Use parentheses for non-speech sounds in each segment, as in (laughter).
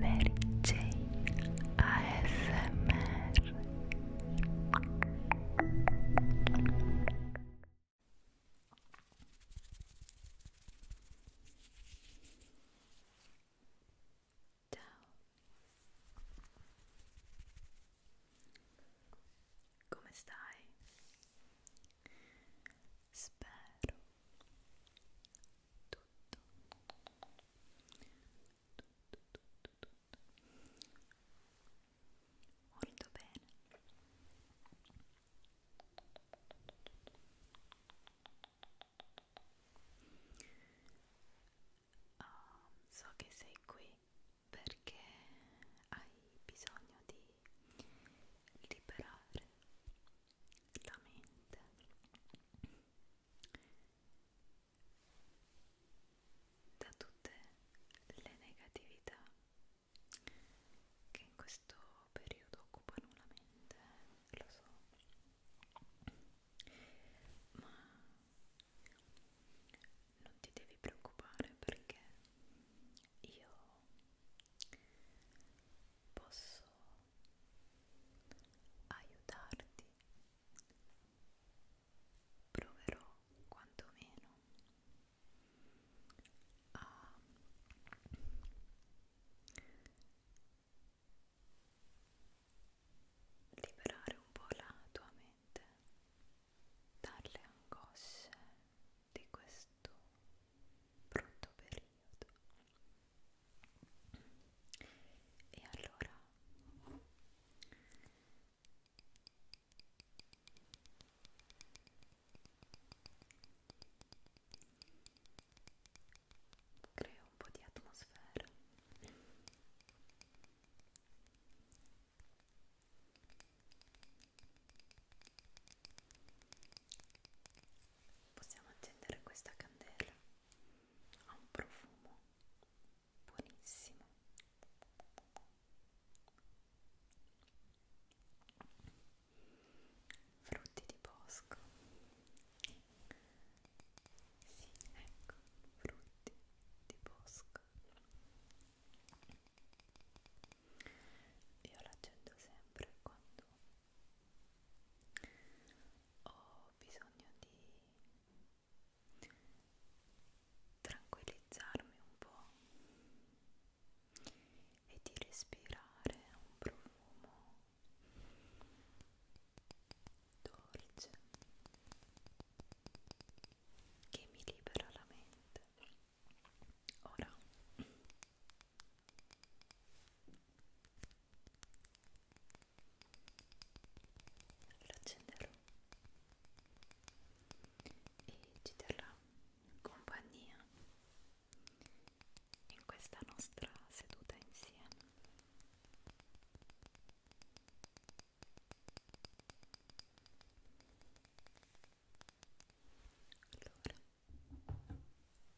Mary Jane ASMR Ciao Come stai? Spero tutto tutto tutto tutto molto bene oh, so che sei qui perché hai bisogno di liberare la mente da tutte le negatività che in questo periodo occupano la mente, lo so, ma non ti devi preoccupare perché io posso aiutarti. Proverò quantomeno a liberare un po' la tua mente dalle angosce di questo brutto periodo segnato e allora creo un po' di atmosfera possiamo accendere questa candela ha un profumo buonissimo frutti di bosco sì, ecco, frutti di bosco io l'accendo sempre quando ho bisogno di tranquillizzarmi un po' e di respirare un profumo dolce che mi libera la mente ora lo accenderò e ci terrà compagnia in questa nostra seduta insieme allora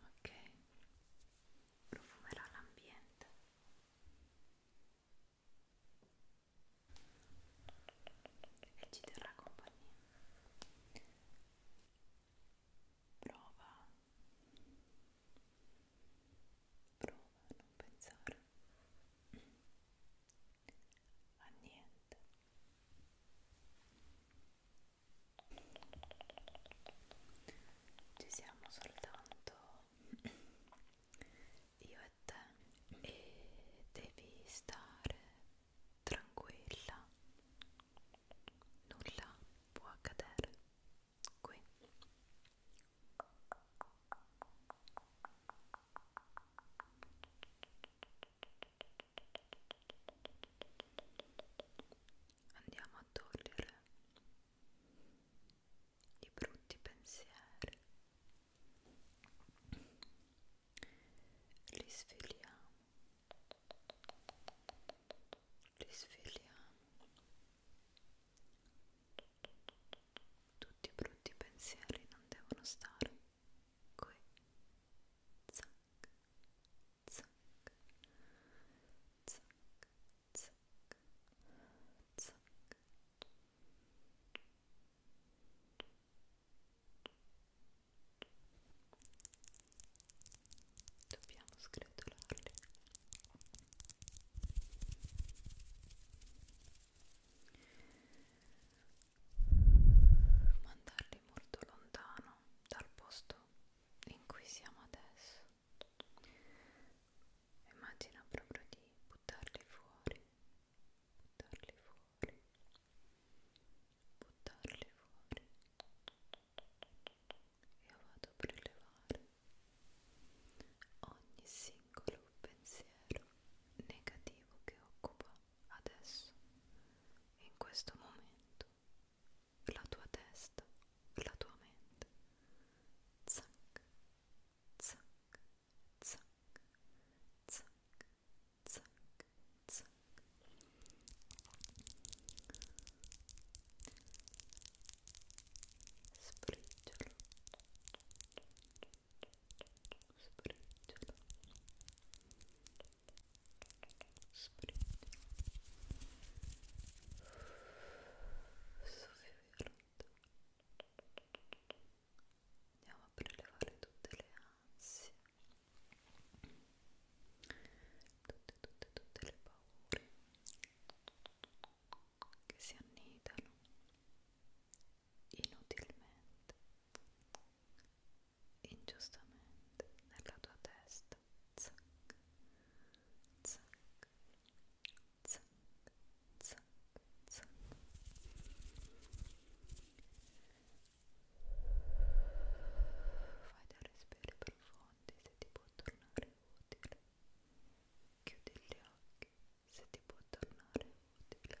ok profumerò l'ambiente e ci terrà compagnia prova prova a non pensare a niente ci siamo soltanto (clears throat) io e te e devi stare tranquilla nulla può accadere qui andiamo a togliere i brutti pensieri li sfiliamo li sfiliamo tutti i brutti pensieri non devono stare qui zac zac, zac, zac, zac. Dobbiamo sgretolarli. Mandarli molto lontano dal posto in cui siamo adesso. Immagina proprio di buttarli fuori, buttarli fuori, buttarli fuori. Io vado a prelevare ogni singolo pensiero negativo che occupa adesso, in questo momento la tua testa, la tua mente. Zac, zac, zac, zac, zac, zac. Spriggialo. Spriggialo. Andiamo a prelevare tutte le ansie, tutte, tutte, tutte le paure che si annidano inutilmente ingiustamente nella tua testa zac, zac, zac, zac, zac. fai dei respiri profondi se ti può tornare utile chiudi gli occhi se ti può tornare utile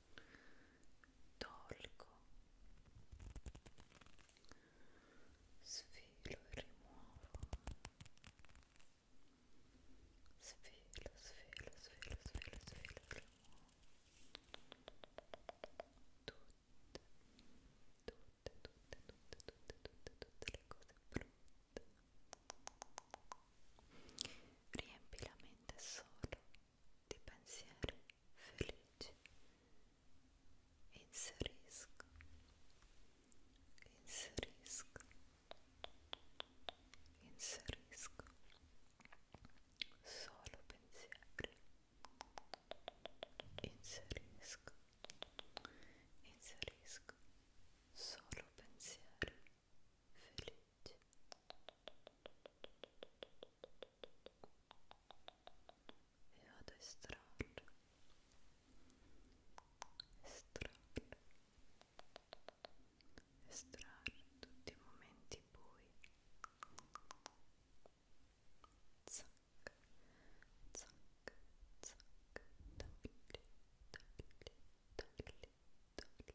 tolgo sfilo e rimuovo sfilo, sfilo, sfilo, sfilo, sfilo e rimuovo tutte, tutte, tutte, tutte, tutte, tutte, tutte le cose brutte Riempi la mente solo di pensieri felici. Inserisco, inserisco, inserisco solo pensieri. Inserisco, inserisco solo pensieri flûte vado e strollo strollo tutti i momenti bui zac zac zac togli togli togli togli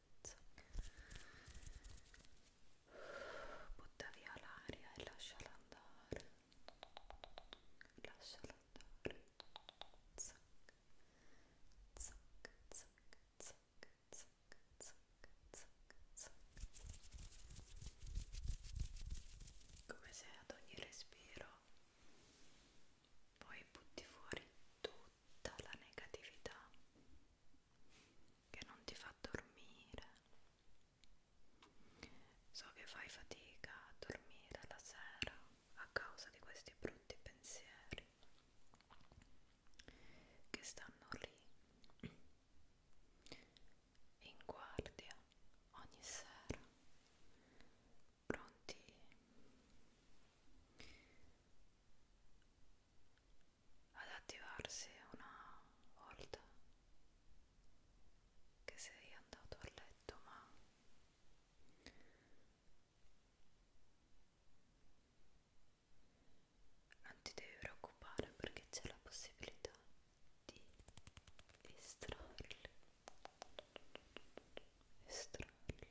salvezza. Butta via l'aria e lasciala andare. Lasciala andare. Zac, zac, zac, zac, zac, zac, zac, zac. Come se ad ogni respiro poi butti fuori tutta la negatività che non ti fa dormire. So che fai fatica a dormire la sera a causa di questi brutti pensieri che stanno lì in guardia ogni sera pronti ad attivarsi una volta che sei andato a letto ma non ti devi preoccupare perché c'è la possibilità di estrarli estrarli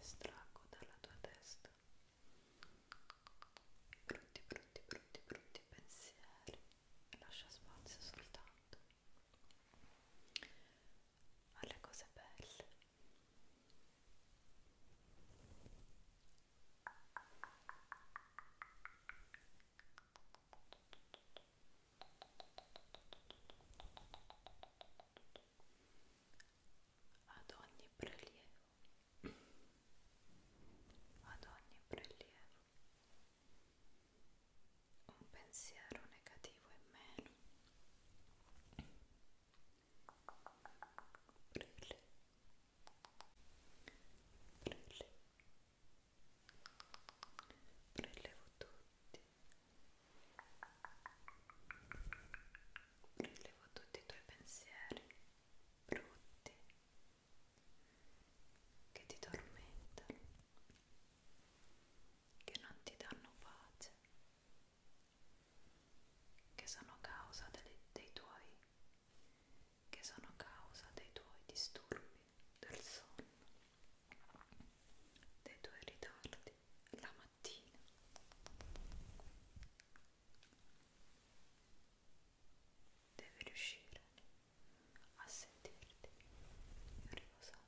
estraggo dalla tua testa brutti brutti brutti brutti pensieri e lascia spazio soltanto alle cose belle ad ogni prelievo, ad ogni prelievo, un pensiero negativo in meno brille brille brillevo tutti brillevo tutti i tuoi pensieri brutti che ti tormentano che non ti danno pace che sono causa dei, dei tuoi che sono causa dei tuoi disturbi del sonno dei tuoi ritardi la mattina devi riuscire a sentirti riposare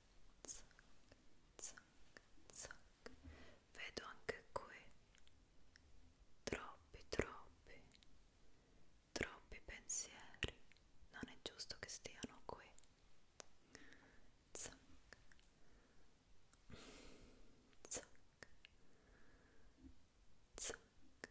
zac, zac, zac. Vedo anche qui troppi, troppi, troppi pensieri. Non è giusto che stiano qui. Zac, zac, zac. Zac,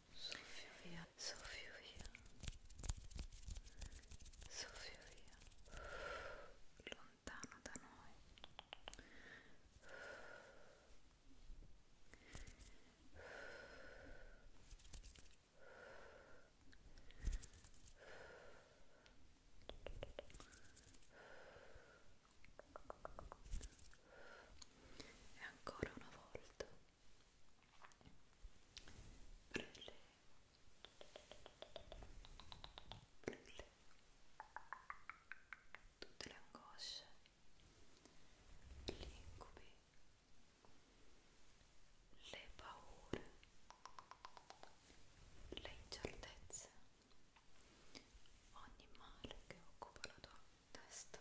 soffio via, soffio via, soffio via, lontano da noi. E ancora una volta prelevo prelevo tutte le angosce gli incubi le paure le incertezze ogni male che occupa la tua testa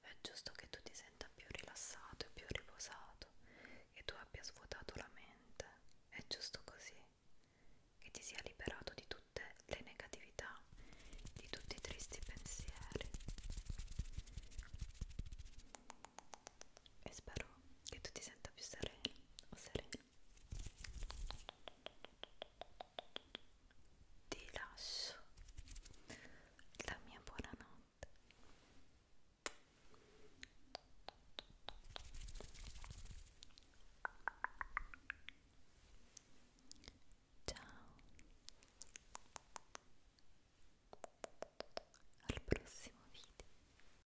È giusto che tu ti senta più rilassato e più riposato, che tu abbia svuotato la mente, è giusto così, che ti sia liberato di tutte le negatività, di tutti i tristi pensieri. E spero che tu ti senta più sereno o serena ti lascio la mia buonanotte ciao al prossimo video